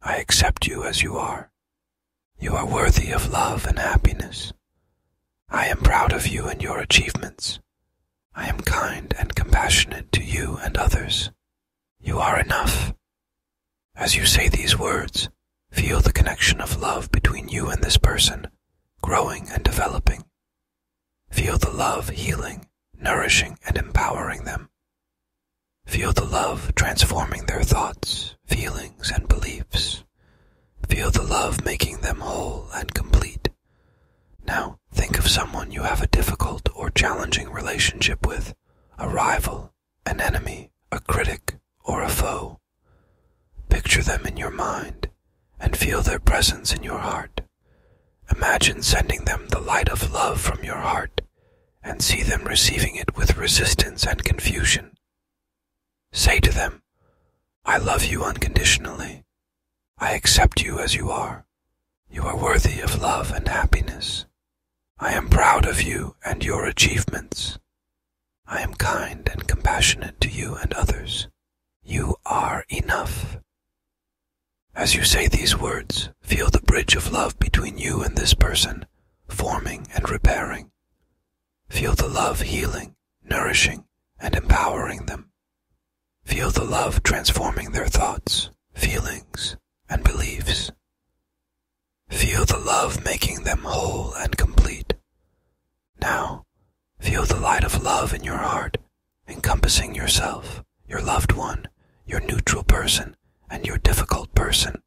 I accept you as you are. You are worthy of love and happiness. I am proud of you and your achievements. I am kind and compassionate to you and others. You are enough. As you say these words, feel the connection of love between you and this person, growing and developing. Feel the love healing, nourishing, and empowering them. Feel the love transforming their thoughts, feelings, and beliefs. Feel the love making them whole and complete. Now, think of someone you have a difficult or challenging relationship with, a rival, an enemy, a critic, or a foe. Picture them in your mind and feel their presence in your heart. Imagine sending them the light of love from your heart and see them receiving it with resistance and confusion. Say to them, I love you unconditionally. I accept you as you are. You are worthy of love and happiness. I am proud of you and your achievements. I am kind and compassionate to you and others. You are enough. As you say these words, feel the bridge of love between you and this person, forming and repairing. Feel the love healing, nourishing, and empowering them. Feel the love transforming their thoughts, feelings, and beliefs. Feel the love making them whole and complete. Now, feel the light of love in your heart, encompassing yourself, your loved one, your neutral person, and your difficult person.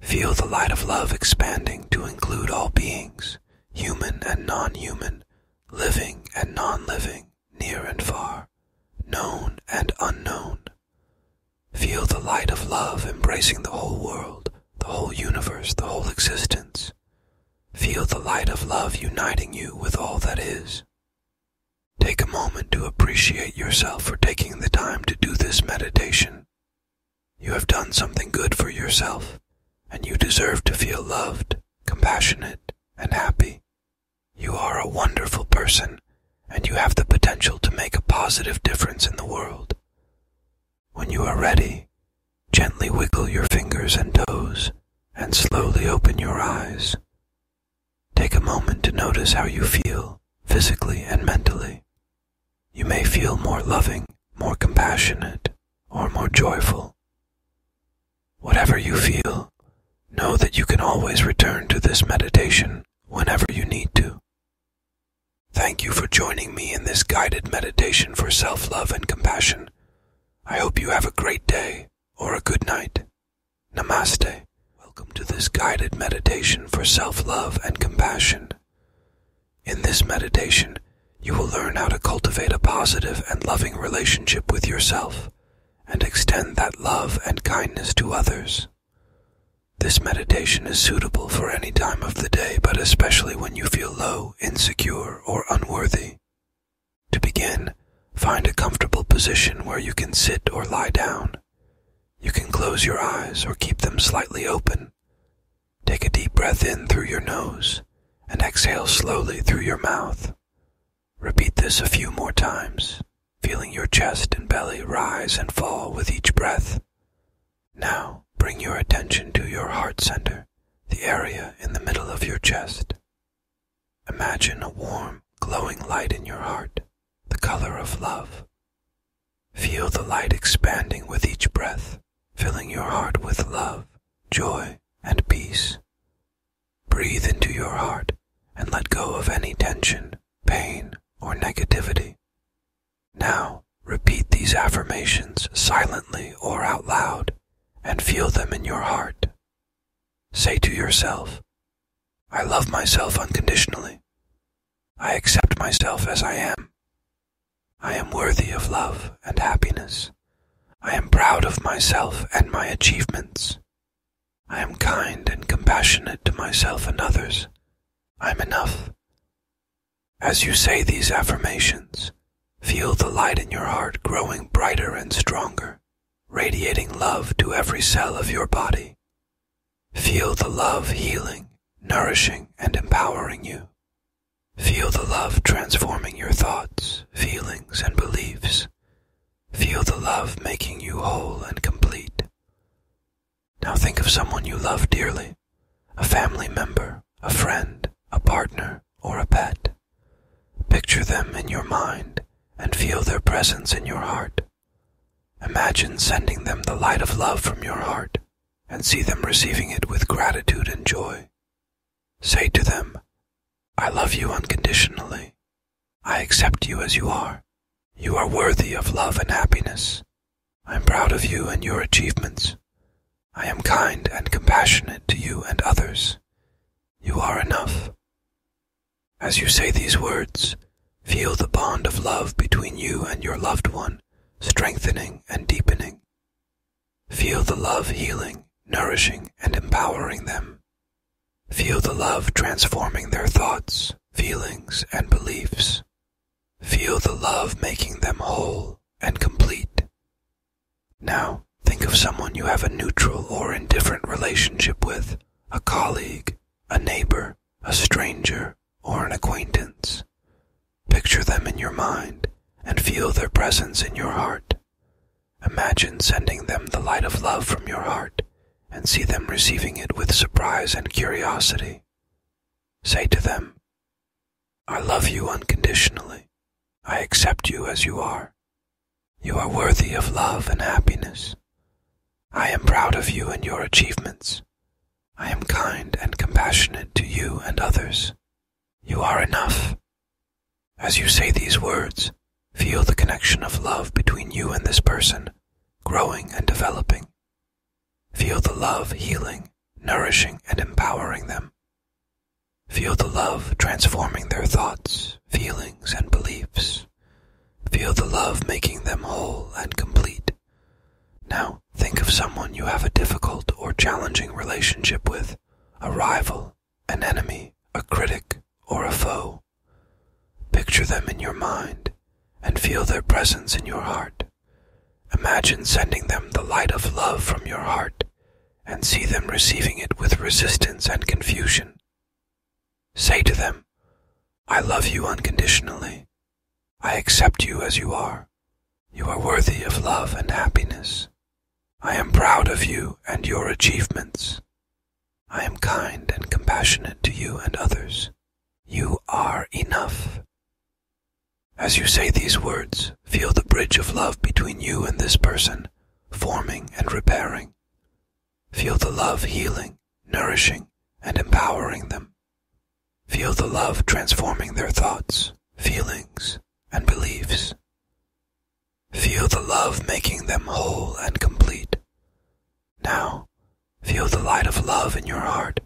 Feel the light of love expanding to include all beings, human and non human, living and non living, near and far, known and unknown. Feel the light of love embracing the whole world, the whole universe, the whole existence. Feel the light of love uniting you with all that is. Take a moment to appreciate yourself for taking the time to do this meditation. You have done something good for yourself, and you deserve to feel loved, compassionate, and happy. You are a wonderful person, and you have the potential to make a positive difference in the world. When you are ready, gently wiggle your fingers and toes and slowly open your eyes. Take a moment to notice how you feel, physically and mentally. You may feel more loving, more compassionate, or more joyful. Whatever you feel, know that you can always return to this meditation whenever you need to. Thank you for joining me in this guided meditation for self love and compassion. I hope you have a great day or a good night. Namaste. Welcome to this guided meditation for self love and compassion. In this meditation, you will learn how to cultivate a positive and loving relationship with yourself and extend that love and kindness to others. This meditation is suitable for any time of the day, but especially when you feel low, insecure, or unworthy. To begin, find a comfortable position where you can sit or lie down. You can close your eyes or keep them slightly open. Take a deep breath in through your nose and exhale slowly through your mouth. Repeat this a few more times, feeling your chest and belly rise and fall with each breath. Now, bring your attention to your heart center, the area in the middle of your chest. Imagine a warm, glowing light in your heart, the color of love. Feel the light expanding with each breath, filling your heart with love, joy, and peace. Breathe into your heart and let go of any tension, pain, or negativity. Now, repeat these affirmations silently or out loud and feel them in your heart. Say to yourself, I love myself unconditionally. I accept myself as I am. I am worthy of love and happiness. I am proud of myself and my achievements. I am kind and compassionate to myself and others. I'm enough. As you say these affirmations, feel the light in your heart growing brighter and stronger, radiating love to every cell of your body. Feel the love healing, nourishing, and empowering you. Feel the love transforming your thoughts, feelings, and beliefs. Feel the love making you whole and complete. Now think of someone you love dearly a family member, a friend, a partner, or a pet. Picture them in your mind and feel their presence in your heart. Imagine sending them the light of love from your heart and see them receiving it with gratitude and joy. Say to them, I love you unconditionally. I accept you as you are. You are worthy of love and happiness. I am proud of you and your achievements. I am kind and compassionate to you and others. You are enough. As you say these words, feel the bond of love between you and your loved one strengthening and deepening. Feel the love healing, nourishing, and empowering them. Feel the love transforming their thoughts, feelings, and beliefs. Feel the love making them whole and complete. Now, think of someone you have a neutral or indifferent relationship with a colleague, a neighbor, a stranger, or an acquaintance. Picture them in your mind and feel their presence in your heart. Imagine sending them the light of love from your heart and see them receiving it with surprise and curiosity. Say to them, I love you unconditionally. I accept you as you are. You are worthy of love and happiness. I am proud of you and your achievements. I am kind and compassionate to you and others. You are enough. As you say these words, feel the connection of love between you and this person, growing and developing. Feel the love healing, nourishing, and empowering them. Feel the love transforming their thoughts, feelings, and beliefs. Feel the love making them whole and complete. Now, think of someone you have a difficult or challenging relationship with, a rival, an enemy, a critic, or a foe. Picture them in your mind and feel their presence in your heart. Imagine sending them the light of love from your heart and see them receiving it with resistance and confusion. Say to them, I love you unconditionally. I accept you as you are. You are worthy of love and happiness. I am proud of you and your achievements. I am kind and compassionate to you and others. You are enough. As you say these words, feel the bridge of love between you and this person, forming and repairing. Feel the love healing, nourishing, and empowering them. Feel the love transforming their thoughts, feelings, and beliefs. Feel the love making them whole and complete. Now, Feel the light of love in your heart,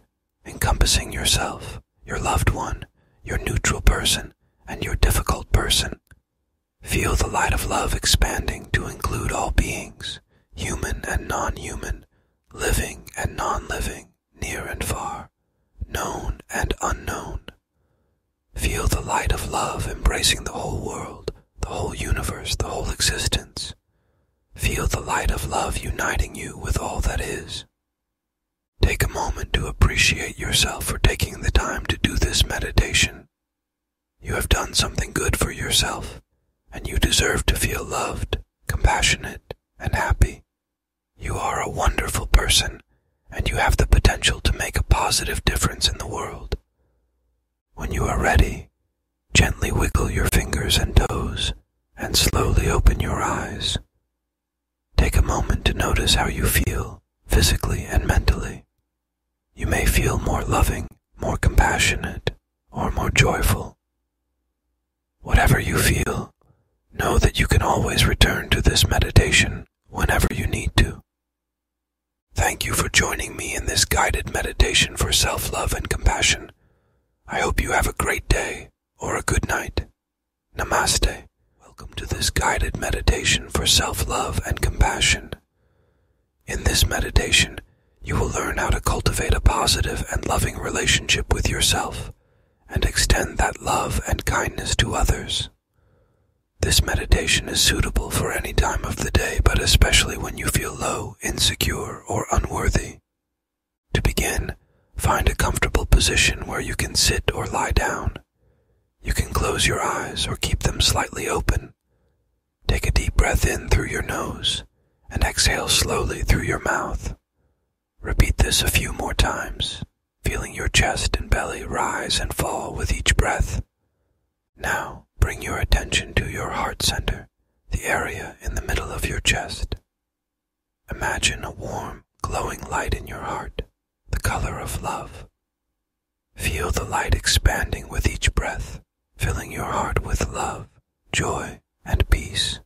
encompassing yourself, your loved one, your neutral person, and your difficult person. Feel the light of love expanding to include all beings, human and non human, living and non living, near and far, known and unknown. Feel the light of love embracing the whole world, the whole universe, the whole existence. Feel the light of love uniting you with all that is. Take a moment to appreciate yourself for taking the time to do this meditation. You have done something good for yourself, and you deserve to feel loved, compassionate, and happy. You are a wonderful person, and you have the potential to make a positive difference in the world. When you are ready, gently wiggle your fingers and toes and slowly open your eyes. Take a moment to notice how you feel, physically and mentally. You may feel more loving, more compassionate, or more joyful. Whatever you feel, know that you can always return to this meditation whenever you need to. Thank you for joining me in this guided meditation for self love and compassion. I hope you have a great day or a good night. Namaste. Welcome to this guided meditation for self love and compassion. In this meditation, you will learn how to cultivate a positive and loving relationship with yourself and extend that love and kindness to others. This meditation is suitable for any time of the day, but especially when you feel low, insecure, or unworthy. To begin, find a comfortable position where you can sit or lie down. You can close your eyes or keep them slightly open. Take a deep breath in through your nose and exhale slowly through your mouth. Repeat this a few more times, feeling your chest and belly rise and fall with each breath. Now, bring your attention to your heart center, the area in the middle of your chest. Imagine a warm, glowing light in your heart, the color of love. Feel the light expanding with each breath, filling your heart with love, joy, and peace.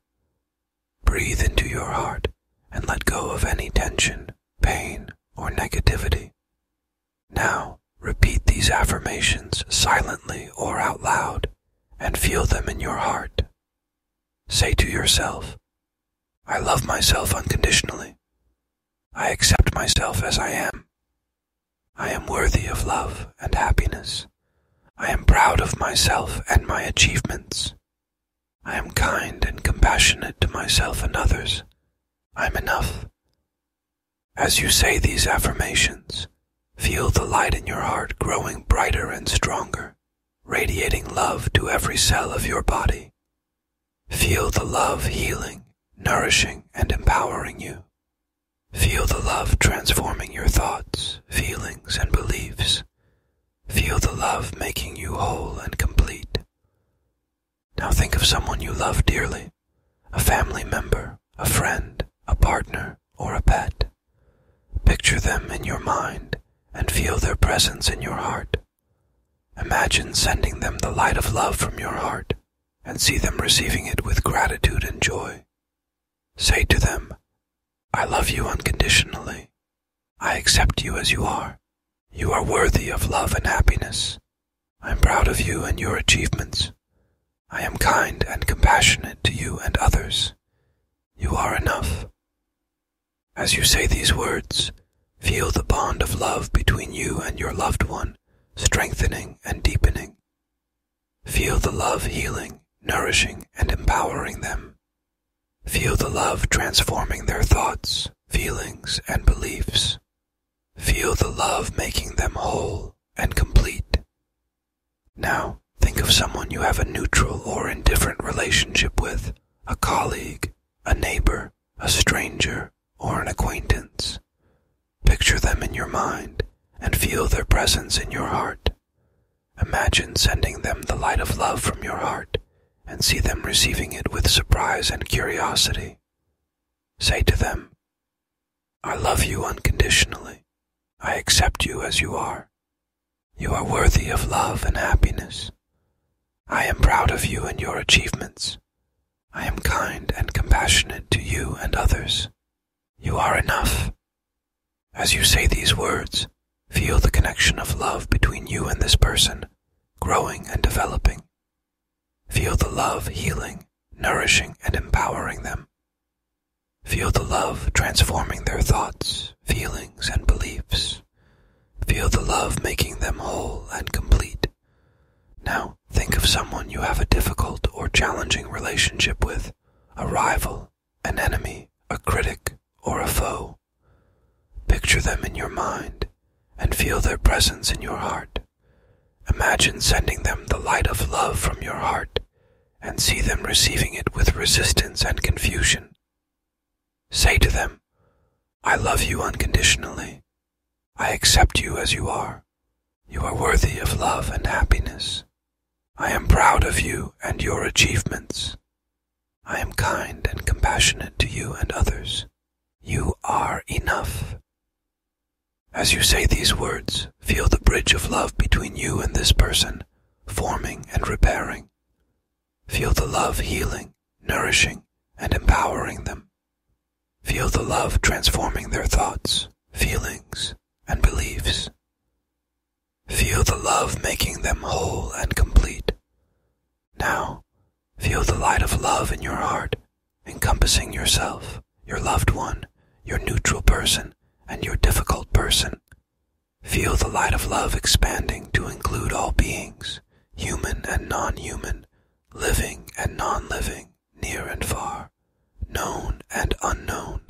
Breathe into your heart and let go of any tension, pain, or negativity. Now, repeat these affirmations silently or out loud and feel them in your heart. Say to yourself, I love myself unconditionally. I accept myself as I am. I am worthy of love and happiness. I am proud of myself and my achievements. I am kind and compassionate to myself and others. I'm enough. As you say these affirmations, Feel the light in your heart growing brighter and stronger, radiating love to every cell of your body. Feel the love healing, nourishing, and empowering you. Feel the love transforming your thoughts, feelings, and beliefs. Feel the love making you whole and complete. Now think of someone you love dearly, a family member, a friend, a partner, or a pet. Picture them in your mind and feel their presence in your heart. Imagine sending them the light of love from your heart and see them receiving it with gratitude and joy. Say to them, I love you unconditionally. I accept you as you are. You are worthy of love and happiness. I am proud of you and your achievements. I am kind and compassionate to you and others. You are enough. As you say these words, feel the bond of love between you and your loved one strengthening and deepening. Feel the love healing, nourishing, and empowering them. Feel the love transforming their thoughts, feelings, and beliefs. Feel the love making them whole and complete. Now, think of someone you have a neutral or indifferent relationship with a colleague, a neighbor, a stranger, or an acquaintance. Picture them in your mind and feel their presence in your heart. Imagine sending them the light of love from your heart and see them receiving it with surprise and curiosity. Say to them, I love you unconditionally. I accept you as you are, you are worthy of love and happiness. I am proud of you and your achievements. I am kind and compassionate to you and others. You are enough. As you say these words, feel the connection of love between you and this person, growing and developing. Feel the love healing, nourishing, and empowering them. Feel the love transforming their thoughts, feelings, and beliefs. Feel the love making them whole and complete. Now, think of someone you have a difficult or challenging relationship with a rival, an enemy, a critic, or a foe. Picture them in your mind and feel their presence in your heart. Imagine sending them the light of love from your heart and see them receiving it with resistance and confusion. Say to them, I love you unconditionally. I accept you as you are. You are worthy of love and happiness. I am proud of you and your achievements. I am kind and compassionate to you and others. You are enough. As you say these words, feel the bridge of love between you and this person forming and repairing. Feel the love healing, nourishing, and empowering them. Feel the love transforming their thoughts, feelings, and beliefs. Feel the love making them whole and complete. Now, feel the light of love in your heart, encompassing yourself, your loved one, your neutral person, and your difficult person. Feel the light of love expanding to include all beings, human and non human, living and non living, near and far, known and unknown.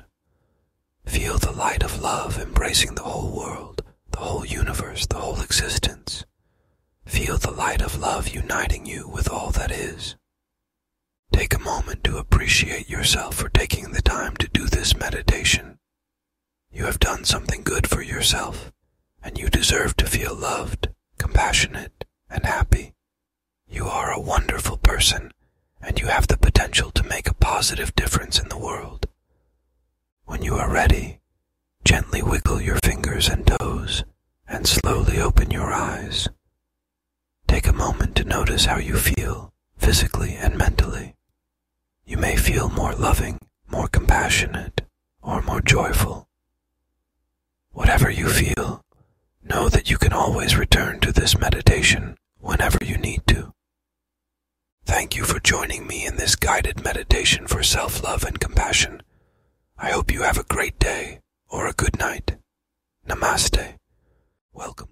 Feel the light of love embracing the whole world, the whole universe, the whole existence. Feel the light of love uniting you with all that is. Take a moment to appreciate yourself for taking the time to do this meditation. You have done something good for yourself, and you deserve to feel loved, compassionate, and happy. You are a wonderful person, and you have the potential to make a positive difference in the world. When you are ready, gently wiggle your fingers and toes, and slowly open your eyes. Take a moment to notice how you feel, physically and mentally. You may feel more loving, more compassionate, or more joyful. Whatever you feel, know that you can always return to this meditation whenever you need to. Thank you for joining me in this guided meditation for self love and compassion. I hope you have a great day or a good night. Namaste. Welcome.